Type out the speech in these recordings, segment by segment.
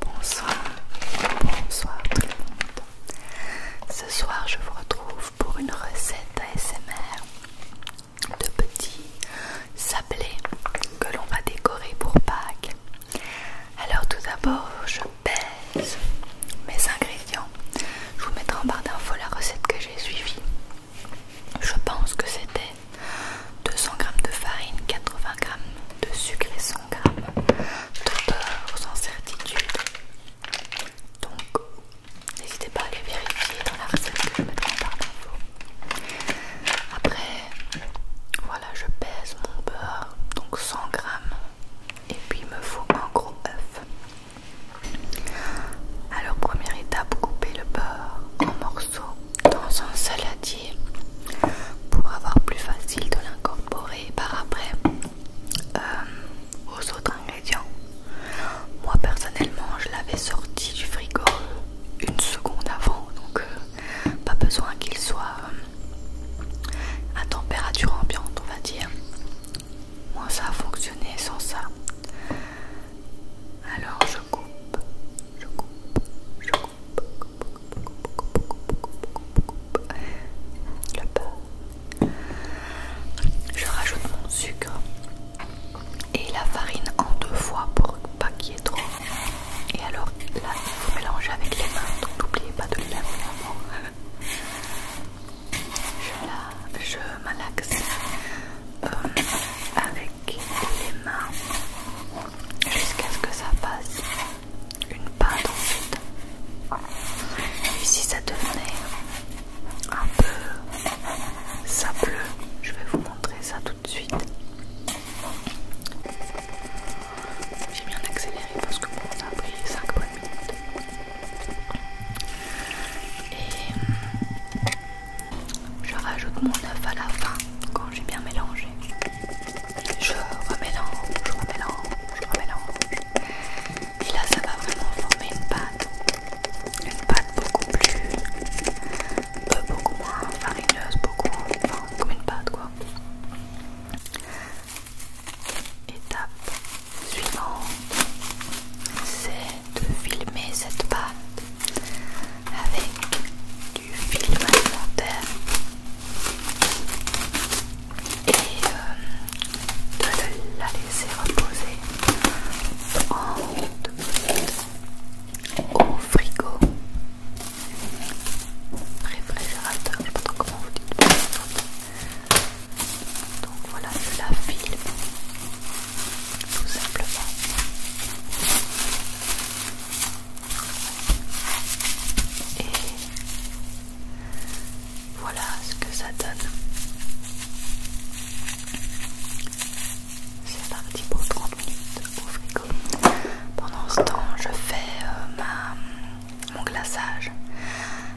Bonsoir, bonsoir tout le monde. Ce soir, je vous retrouve pour une recette ASMR de petits sablés que l'on va décorer pour Pâques. Alors, tout d'abord, je pèse mes ingrédients. Je vous mettrai en barre d'infos la recette que j'ai suivie. Je pense que c'était 200 g de farine, 80 g de sucre et 100 g de beurre sans certitude. Donc, n'hésitez pas à aller vérifier dans la recette que je mettrai en barre d'infos. Après, voilà, je pèse mon beurre, donc 100 g, et puis il me faut un gros œuf. Alors, première étape, couper le beurre en morceaux dans un saladier pour avoir plus facile de l'incorporer par après euh, aux autres ingrédients. Moi personnellement je l'avais sorti du frigo une seconde avant donc euh, pas besoin qu'il soit euh, à température ambiante on va dire. Moi ça a fonctionné sans ça. Alors je coupe, je coupe, je coupe. Je rajoute mon sucre et la farine en deux fois pour pas qu'il y ait trop. Et alors là, il faut mélanger avec les mains, donc n'oubliez pas de les laver Je, la, je malaxe euh, avec les mains jusqu'à ce que ça fasse une pâte ensuite fait. Et si ça devenait un peu sableux, je vais vous montrer ça tout de suite. J'ai bien accéléré parce que bon, ça a pris 5 bonnes minutes. Et je rajoute mon œuf à la fin quand j'ai bien mélangé. Je remélange, je remélange, je remélange. Et là, ça va vraiment former une pâte. Une pâte beaucoup plus. Euh, beaucoup moins farineuse, beaucoup. Enfin, comme une pâte quoi. Étape suivante, c'est de filmer cette pâte avec du film alimentaire et euh, de la laisser reposer en au frigo réfrigérateur, je ne sais pas trop comment vous dites donc voilà je la filme tout simplement et voilà ce que ça donne. C'est parti pour 30 minutes au frigo. Pendant ce temps, je fais euh, mon glaçage.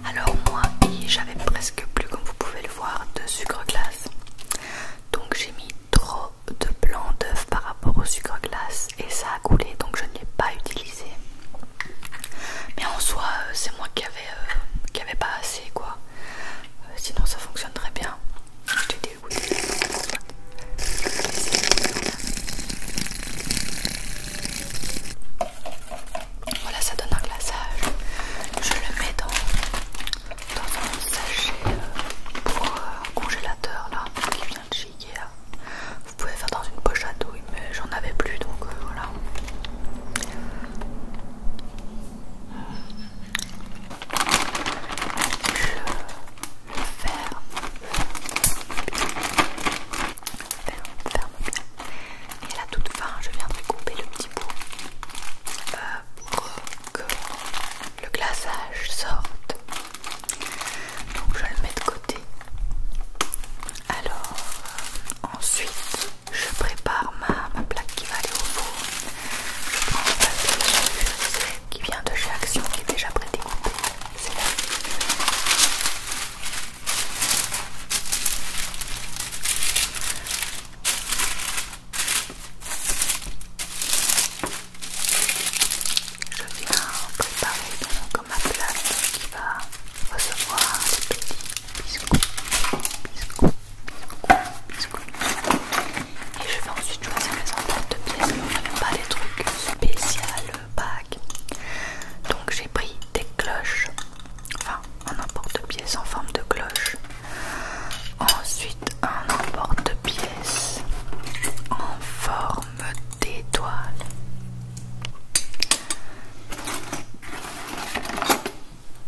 Alors moi, j'avais presque plus, comme vous pouvez le voir, de sucre glace. Donc j'ai mis trop de blanc d'œuf par rapport au sucre glace et ça a coulé donc je ne l'ai pas utilisé mais en soi euh, c'est moi qui avait, euh, qui avait pas assez quoi euh, sinon ça fonctionne très bien voilà ça donne un glaçage je le mets dans dans un sachet euh, pour un euh, congélateur là qui vient de chez Ikea. Vous pouvez faire dans une poche à douille, mais j'en avais plus donc euh, voilà. Je le ferme, Et là, la toute fin, je viens de couper le petit bout pour que le glaçage sorte. Donc je le mets de côté. Alors ensuite je prépare ma, plaque qui va aller au four. Je prends le pâte qui vient de chez Action qui est déjà prêté C'est là. Je viens préparer donc ma plate qui va recevoir des petits biscuits, Et je vais ensuite choisir mes empreintes de pièces, mais on pas des trucs spéciaux bagues. Donc j'ai pris des cloches, enfin un emporte-pièce en forme de cloche. Ensuite un emporte-pièce en forme d'étoile.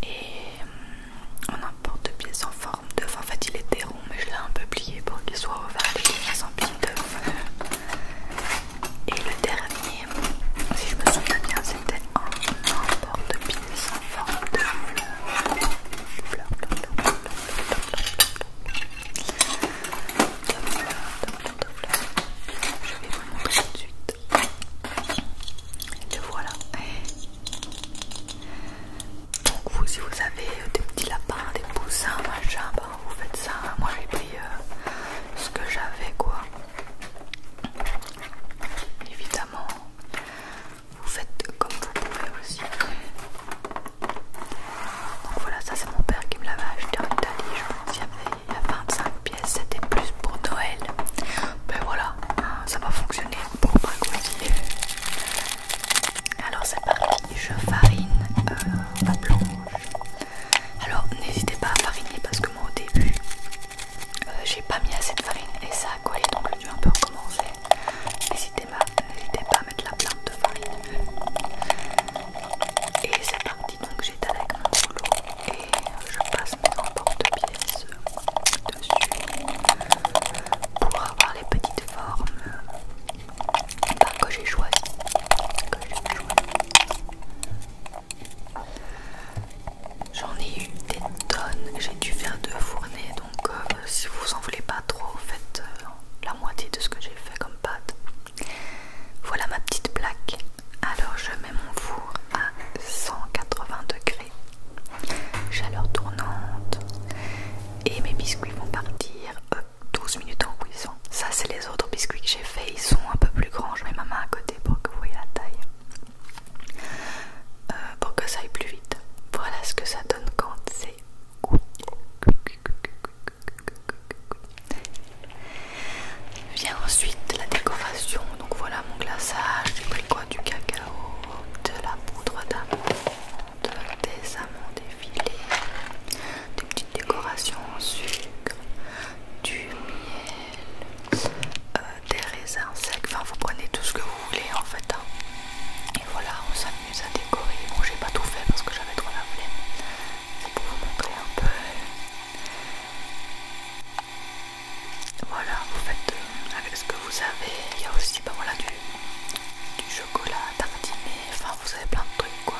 Et hum, un emporte-pièce en forme d'œuf. En fait il était rond mais je l'ai un peu plié pour qu'il soit ouvert et qu'il pièce. Et le dernier, si je me souviens bien, c'était un porte-pince en forme de fleur. Fleur, fleur, fleur, fleur, fleur, de fleur, de fleur. Je vais vous montrer tout de suite. Le voilà. Donc vous, si vous avez des petits lapins, des poussins, machin, ben vous faites ça. Moi j'ai pris ce que j'avais quoi. Évidemment, vous faites comme vous pouvez aussi. Donc voilà, ça c'est mon père qui me l'avait acheté en Italie, je pense qu'il y avait il y a 25 pièces, c'était plus pour Noël. Mais ben voilà, ça va fonctionner pour bah, ma euh, Alors c'est parti, je farine euh, ma blanche Alors n'hésitez pas à fariner parce que moi au début, euh, j'ai pas mis assez de farine et ça a collé donc le vais un peu recommencer, N'hésitez pas à mettre la plainte de farine. Et c'est parti, donc j'étale avec mon boulot et je passe mes emporte-pièces dessus pour avoir les petites formes bah, que j'ai choisies. J'en ai eu des tonnes, j'ai dû faire deux fournées donc euh, si vous en voulez pas trop, faites euh, la moitié de ce que j'ai fait comme pâte. Voilà ma petite plaque. Alors je mets mon four à 180 degrés, chaleur tournante, et mes biscuits vont partir 12 euh, minutes en cuisson. Ça, c'est les autres biscuits que j'ai fait, ils sont un peu plus grands. Je mets ma main à côté pour que vous voyez la taille. Euh, pour que ça aille plus vite. Voilà ce que ça donne quand c'est Vient ensuite la décoration. Donc voilà mon glaçage, j'ai pris quoi du cacao, de la poudre d'amande, des amandes effilées, des petites décorations en sucre, du miel, euh, euh, des raisins secs, enfin vous prenez tout ce que vous voulez en fait. Hein. Et voilà, on s'amuse à décorer. Bon, j'ai pas tout fait parce que j'avais trop la flemme. C'est pour vous montrer un peu. Voilà, vous faites euh, avec ce que vous avez. Il y a aussi bah, du, chocolat tartiné. Enfin, vous avez plein de trucs quoi.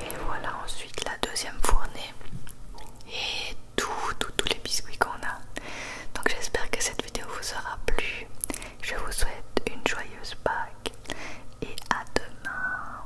Et voilà ensuite la deuxième fournée et tous tout, tous les biscuits qu'on a. Donc j'espère que cette vidéo vous aura plu. Je vous souhaite une joyeuse Pâques et à demain.